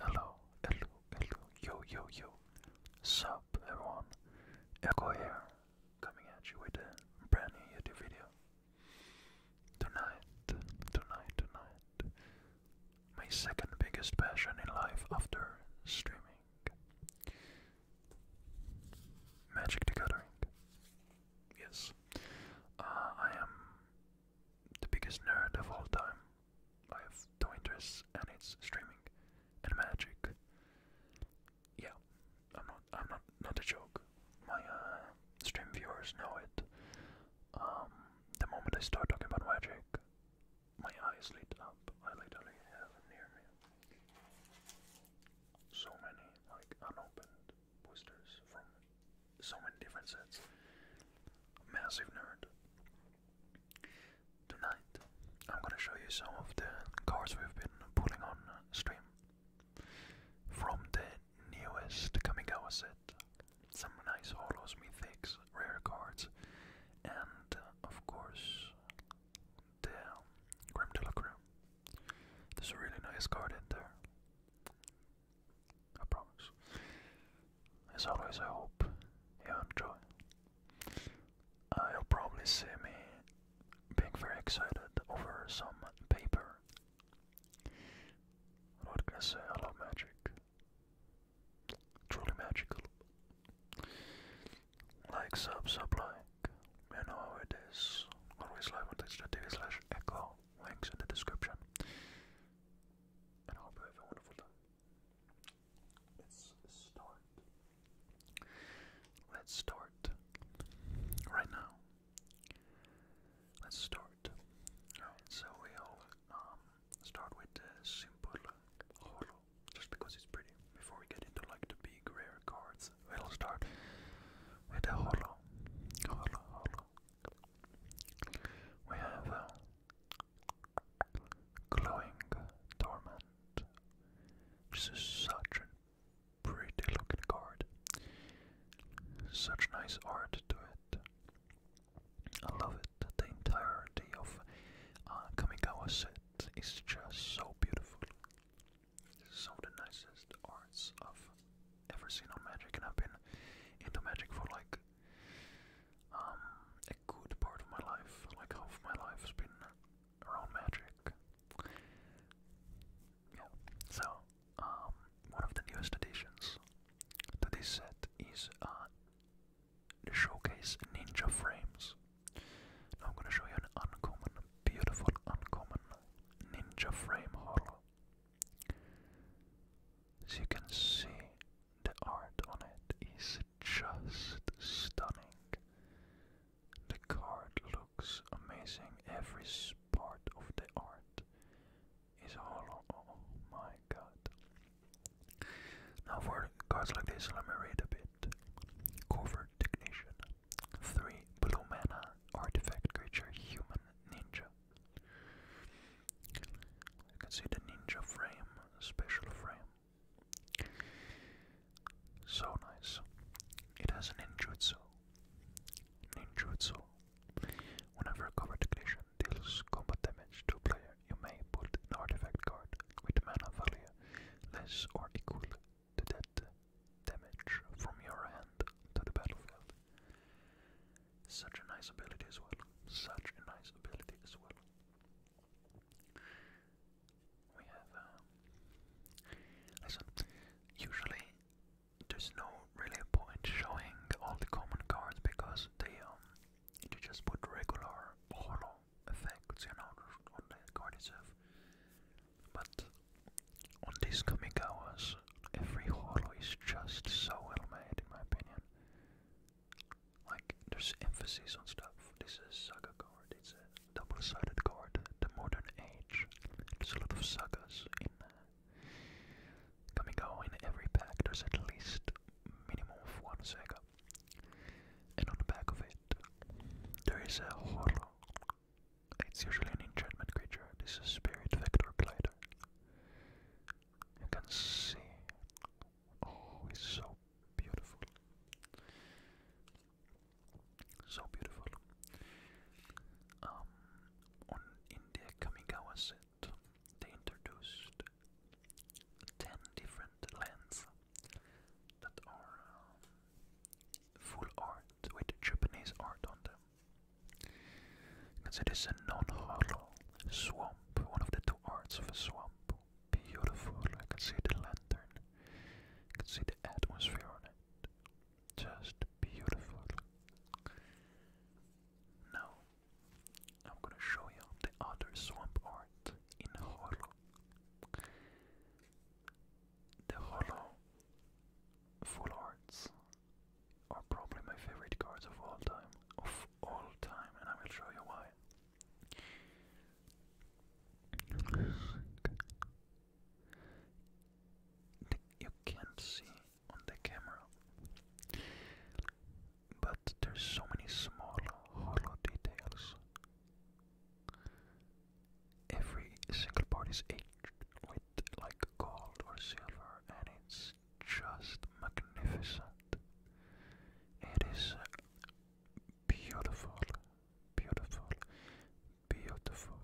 Hello, hello, hello, yo, yo, yo. Sup, everyone. Echo here, coming at you with a brand new video. Tonight, tonight, tonight. My second biggest passion in life after streaming Magic the Yes. Uh, I am the biggest nerd of all time. I have two interest, and it's streaming and magic. Yeah, I'm not. I'm not. Not a joke. My uh, stream viewers know it. Um, the moment I start talking about magic, my eyes lit up. I literally have near me so many like unopened boosters from so many different sets. Massive nerd. Tonight, I'm gonna show you some of the cards we've been pulling on stream from the newest Kamigawa set. Some nice holos, mythics, rare cards, and uh, of course the Grim Delacroix. There's a really nice card in there. I promise. As always, I hope you enjoy. you'll probably see me being very excited over some paper. What can I say? I love magic. Truly magical. Like, sub, sub, like. You know how it is. Always live on twitch.tv echo. Links in the description and I hope you have a wonderful time. Let's start. Let's start right now. Let's start. Alright, so we'll um, start with the simple holo, just because it's pretty. Before we get into like the big rare cards, we'll start with the holo. Holo, holo, we have uh, glowing torment. This is such a pretty looking card. Such nice art to it. I love it. The entirety of uh, Kamigawa set is just so beautiful. Some of the nicest arts I've ever seen on Magic, and I've been into Magic for like um, a good part of my life, like half my life, has been around magic. Yeah. So, um, one of the newest additions to this set is uh, the showcase ninja frames. I'm gonna show you an uncommon, beautiful, uncommon ninja frame haul. As you can see, the art on it is just stunning. The card looks amazing. Every part of the art is hollow. Oh my god. Now, for cards like this, let me read a bit. Covered Technician. 3 Blue Mana Artifact Creature Human Ninja. You can see the ninja frame, special frame. So nice. It has a ninjutsu. Ninjutsu. Whenever a covered collision deals combat damage to a player, you may put an artifact card with mana value less or equal to that damage from your hand to the battlefield. Such a nice ability as well. Such a nice ability as well. We have. Uh, listen, usually there's no really point showing all the common cards because they um you just put regular holo effects, you know, on the card itself. But on these Kamigawa's Every hollow is just so well made, in my opinion. Like, there's emphasis on stuff. This is saga card, it's a double sided card, the modern age. There's a lot of sagas in uh, coming out in every pack, there's at least minimum of one saga. And on the back of it, there is a hollow. It's usually an enchantment creature. This is Spirit Vector Glider. You can see. Oh, it's so beautiful. So beautiful. Um, on in the Kamigawa set, they introduced ten different lands that are um, full art with Japanese art on them. Consider this a non-hollow swamp, one of the two arts of a swamp. Beautiful, I can see the lantern, I can see the atmosphere on it. Just beautiful. Now, I'm gonna show you the other swamp art in hollow. The hollow full arts are probably my favorite cards of all time, of all time, and I will show you why. you can't see on the camera, but there's so many small hollow details. Every single part is aged with like gold or silver, and it's just magnificent. It is beautiful, beautiful, beautiful.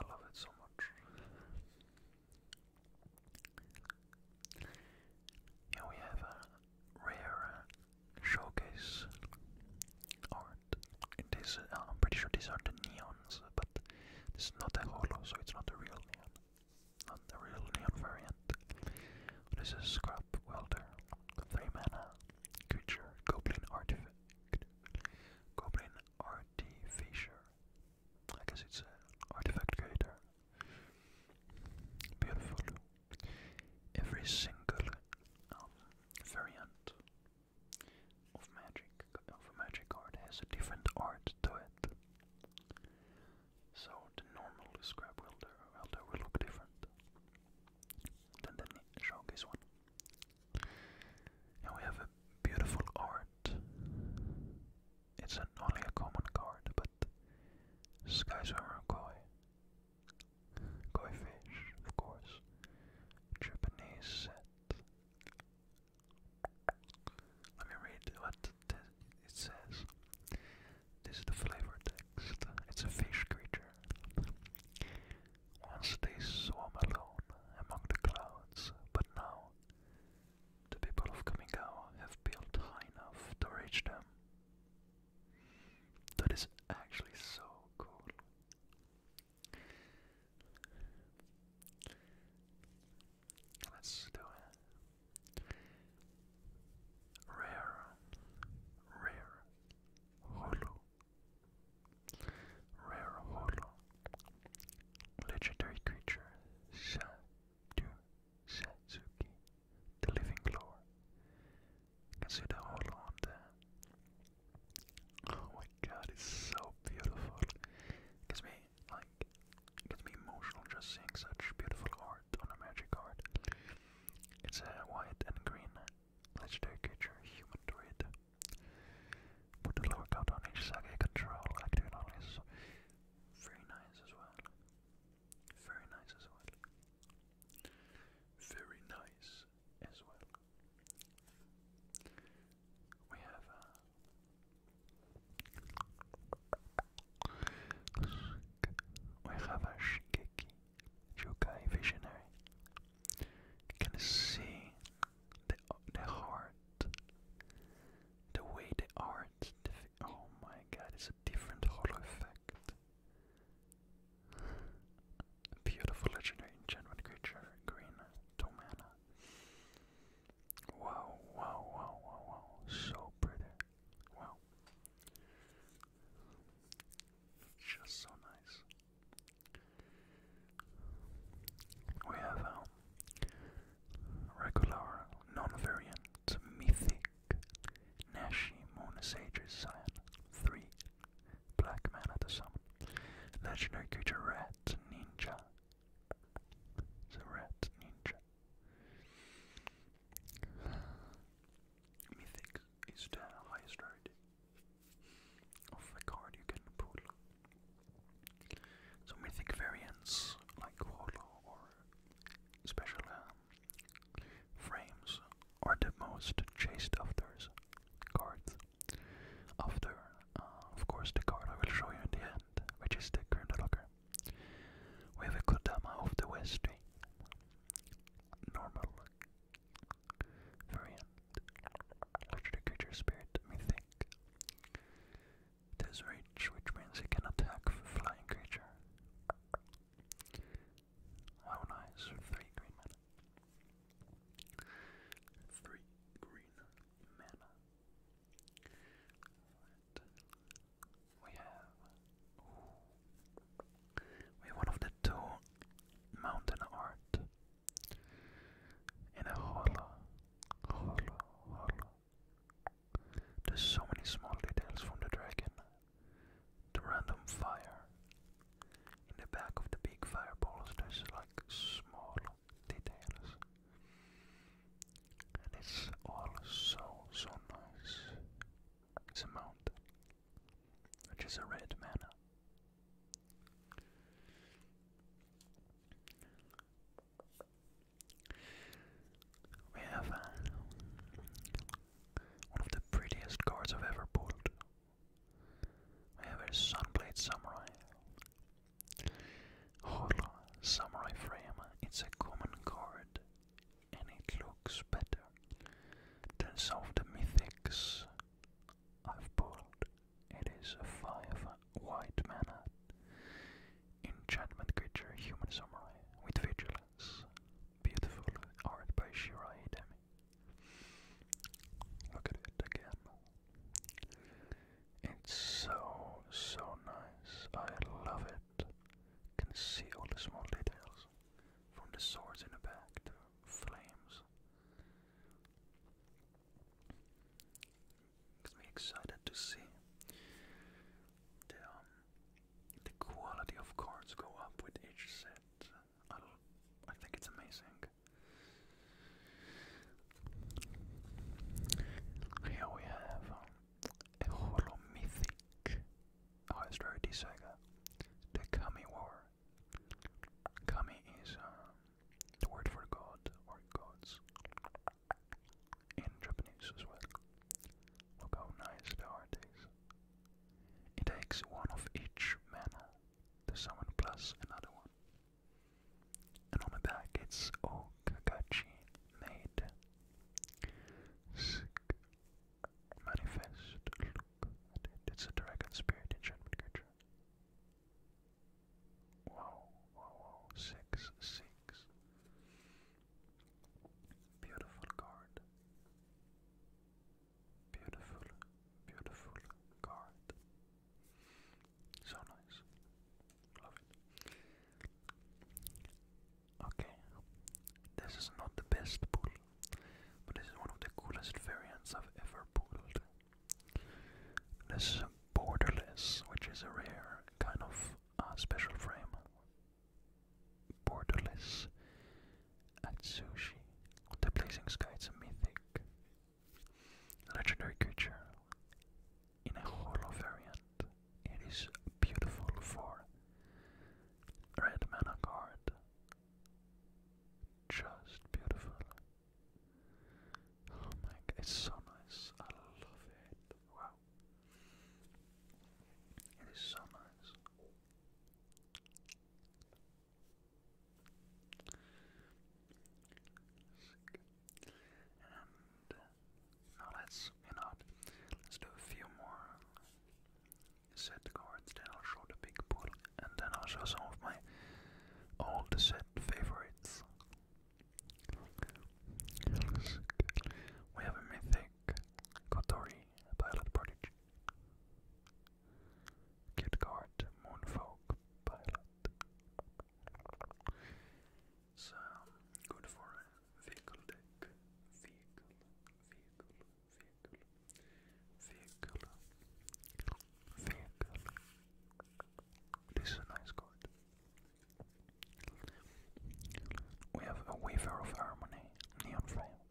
I love it so much. Here we have a rare showcase, uh, I'm pretty sure these are the neons, but this is not a holo, so it's not a real neon. Not the real neon variant. This is Scrap Welder, 3 mana, creature, Goblin Artifact. Goblin Artificer. I guess it's an artifact creator. Beautiful. Every single um, variant of magic of a magic art has a different art to it. So the normal scrap welder welder will look different than the showcase one. And we have a beautiful art. It's only a common card, but Skyswimmer Koi. Koi fish, of course. Japanese set. Let me read what it says. This is the flavor text. It's a fish creature. Once they swam alone among the clouds, but now the people of Kamigawa have built high enough to reach them. That is actually so cool. Let's do it. Rare, rare, hollow, rare hollow, legendary creature, Sadu Satsuki, the living lore. Consider hollow on the Oh my god, it's so beautiful. It gets me like gets me emotional just seeing such beautiful art on a magic card. It's white and green legendary creature, human druid. Put a lower count on each saga control, active knowledge. Very nice as well. Very nice as well. Very nice as well. We have a uh, we have a Shigeki Jokai visionary. You can see the the heart, the way the art. oh my God! It's a different hollow effect. Beautiful legendary enchantment creature, green Tomana. Wow, wow, wow, wow, wow. So pretty. Wow. Just so nice. We have our um, regular, non-variant, mythic Nashi Monasage's 3 Black man Mana the summon. Legendary creature Rat Ninja. It's Rat Ninja. Mythic is the highest rarity of the card you can pull. So mythic variants like Holo or special um, frames are the most chased after cards. After, uh, of course, the card I will show you in the end, which is the Grindelocker. We have a Kodama of the West Stream. Normal variant. Electric creature spirit, we think. This reach, which means it can attack flying creature. How nice, three green Three green mana. We have we one of the two mountain art in a hollow, hollow, hollow. There's so many small details from the dragon. The random fire in the back of the big fireballs there's like small details. And it's all so, so nice. It's a mountain, which is a red mana. We have uh, one of the prettiest cards I've ever pulled. I have a Sunblade Samurai. Holo Samurai Frame. It's a common card and it looks better than some of the mythics I've pulled. It is a 5 white mana enchantment creature, human samurai with vigilance. Beautiful art by Shirai Demi. Look at it again. It's so, so nice. I love it. Can see all the small details. From the swords in the back to flames. Makes me excited to see the um, the quality of cards go up with each set. I think it's amazing. Here we have a um, holomythic highest oh, rarity saga, the Kami War. Kami is um, the word for god or gods in Japanese as well. Look how nice they It takes one of each mana to someone plus another one. And on the back it's Okagachi Maid. Sick. Manifest. Look It's a dragon spirit enchantment creature. Wow, wow, wow. Six, six. Beautiful card. Beautiful, beautiful card. So nice. Love it. Okay, this is not the best pull, but this is one of the coolest variants I've ever pulled. This is borderless, which is a rare kind of uh, special frame. Borderless Atsushi. The Blazing Sky is a mythic legendary creature in a holo variant. It is beautiful for red mana card. Just beautiful. Oh my god, it's so nice. I love it. Wow. It is so nice. And uh, now let's, you let's do a few more set cards, then I'll show the big pool, and then I'll show some of my old set favorites. We have a mythic Kotori, pilot prodigy. Kidcart Moonfolk Pilot. It's good for a vehicle deck. Vehicle, vehicle, vehicle, vehicle, vehicle. This is a nice card. We have a Weaver of Harmony, Neon Flame.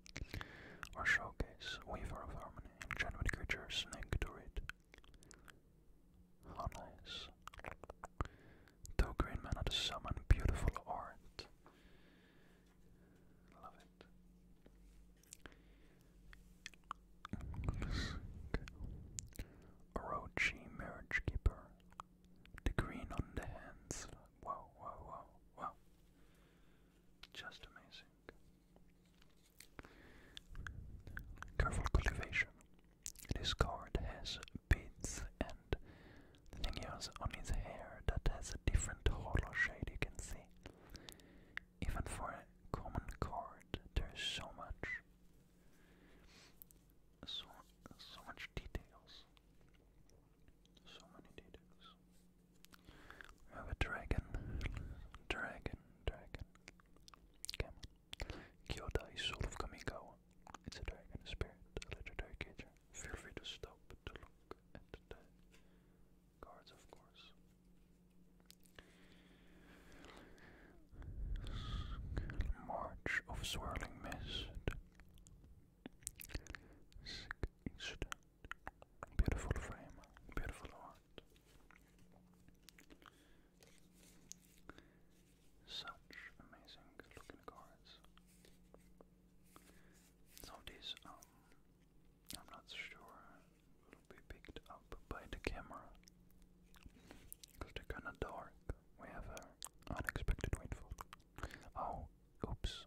Or showcase Weaver of Harmony, and Genuine creatures Snake Druid. How nice. Two green mana to summon beautiful art. Love it. Orochi Marriage Keeper. The green on the hands. Wow, wow, wow, wow. Just amazing. Careful cultivation. This card has beads and the thing on his hair that has a different hollow shade you can see. Even for a common card there's so much so so much details. So many details. have a dragon. Dragon, dragon. Okay. Kyodai Soul of Kamigawa. It's a dragon spirit, a legendary creature. Feel free to stop to look at the cards, of course. March of Swirling Mist. Sick Beautiful frame, beautiful art. Such amazing looking cards. Some of these, um, I'm not sure will be picked up by the camera because they kinda dark. We have an unexpected windfall. Oh, oops,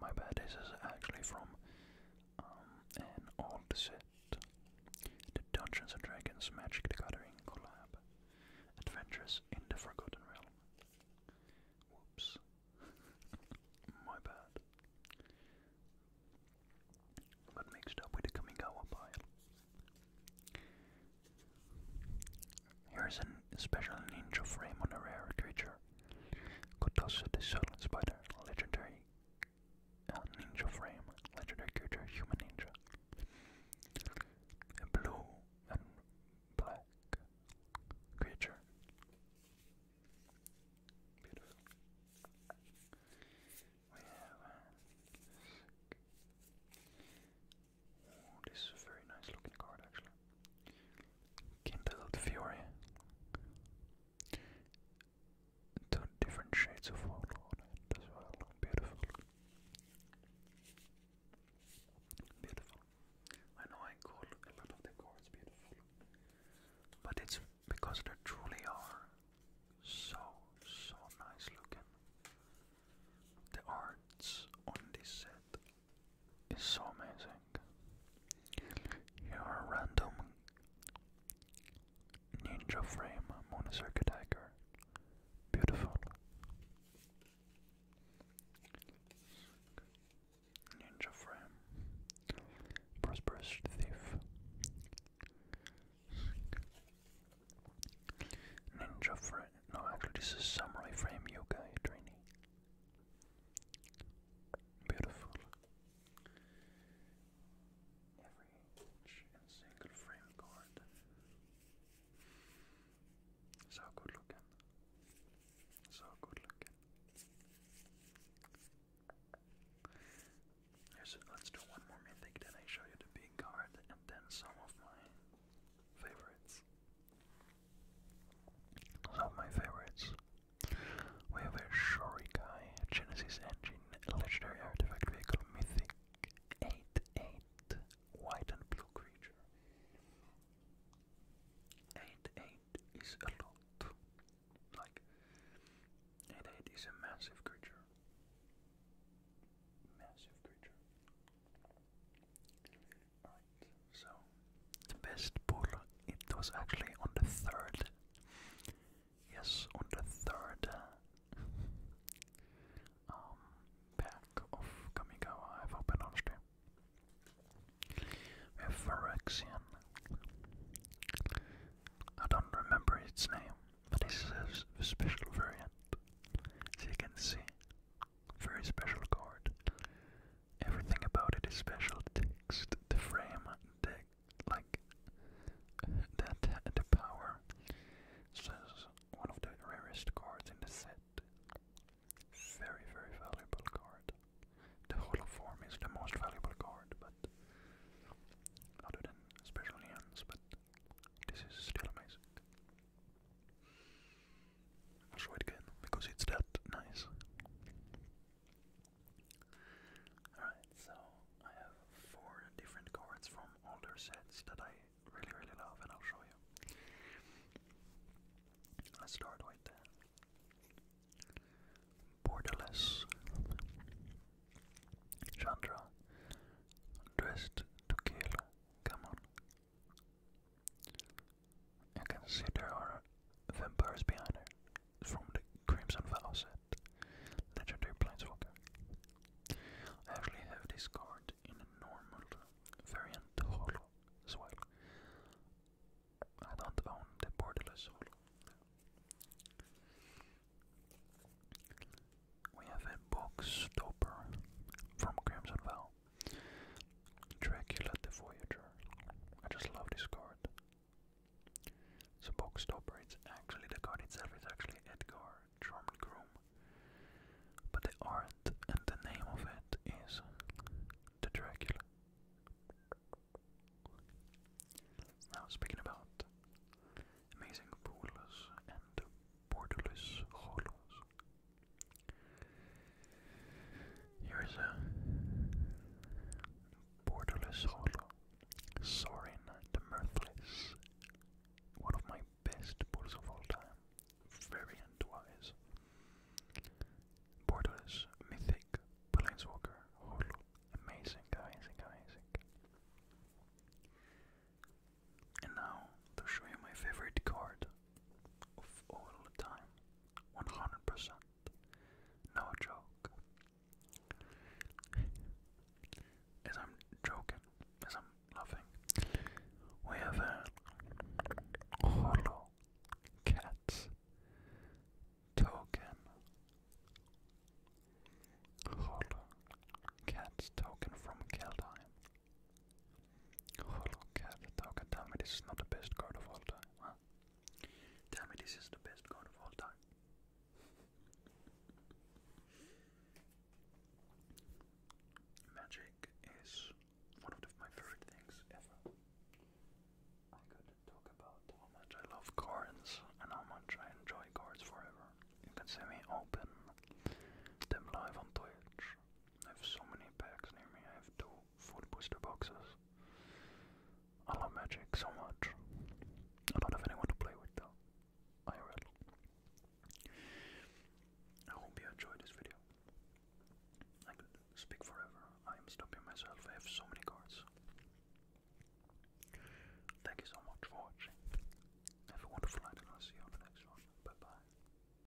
my bad, this is actually from um, an old set. The Dungeons and Dragons Magic the Gathering collab. Adventures in the Forgotten Realm. Whoops. my bad. But mixed up with the Kamigawa pile. Here's an special ninja frame on a rare creature. Kotosu the Silent Spider, legendary uh, ninja frame, legendary creature, human ninja. blue and black creature. Beautiful. We have. Uh, oh, this is a very nice looking card actually. Kindled Fury. Two different shades of Warlord as well. Beautiful. Beautiful. I know I call a lot of the cards beautiful, but it's because they truly are so, so nice looking. The arts on this set it's so amazing. Your random ninja frame monosircuit dagger. Beautiful. Ninja frame. Prosperous thief. Ninja frame. No, this is samurai frame yoga trainee. Beautiful. Every inch and single frame card. So good looking. So good looking. let's do one more mythic, then I show you the big card and then some of my favorites. Some of my favorites. We have a Shurikai, Genesis Engine, Legendary Artifact Vehicle, Mythic 8-8, White and Blue Creature. 8-8 is a lot. Like, 8-8 is a massive creature. Massive creature so the best pull, it was actually on the third. Yes, on the third um, pack of Kamigawa I've opened on stream. We have Phyrexian. I don't remember its name, but this a special variant. As can see, very special card. Everything about it is special. Text, the frame, the like that the power. So one of the rarest cards in the set. Very very valuable card. The hollow form is the most valuable card, but other than special hands, but this is still amazing. I'll show it again because it's that nice. Alright, so I have four different cards from older sets that I really, really love, and I'll show you. Let's start with that. Borderless Chandra Dressed to Kill. Come on and can see there are vampires behind her from the Crimson Vow set, legendary planeswalker. I actually have this card in a normal variant holo as well. I don't own the borderless holo. We have a box stopper from Crimson Vow. Dracula the Voyager. I just love this card. So box stopper, it's actually the card itself is actually Edgar Charmed Groom. But the art and the name of it is the Dracula. Now speaking about amazing pools and portulus hollows. Here is a borderless holo. Sorin the Mirthless. One of my best portals of all time. Variant wise. Borderless, mythic, planeswalker, holo. Amazing, amazing, amazing. And now to show you my favorite card all the time, 100%, no joke. As I'm joking, as I'm laughing, we have a hollow cat token. Hollow cat token from Keldheim. Look at the token. Tell me this is not the best card of all time. Tell me this is the best card of all time. Magic is one of my favorite things ever. I could talk about how much I love cards and how much I enjoy cards forever. You can see me open them live on Twitch I have so many packs near me. I have two full booster boxes. I love Magic so much. I don't have anyone to play with though. I I hope you enjoyed this video. I could speak forever. I am stopping myself. I have so many cards. Thank you so much for watching. Have a wonderful night and I'll see you on the next one. Bye bye.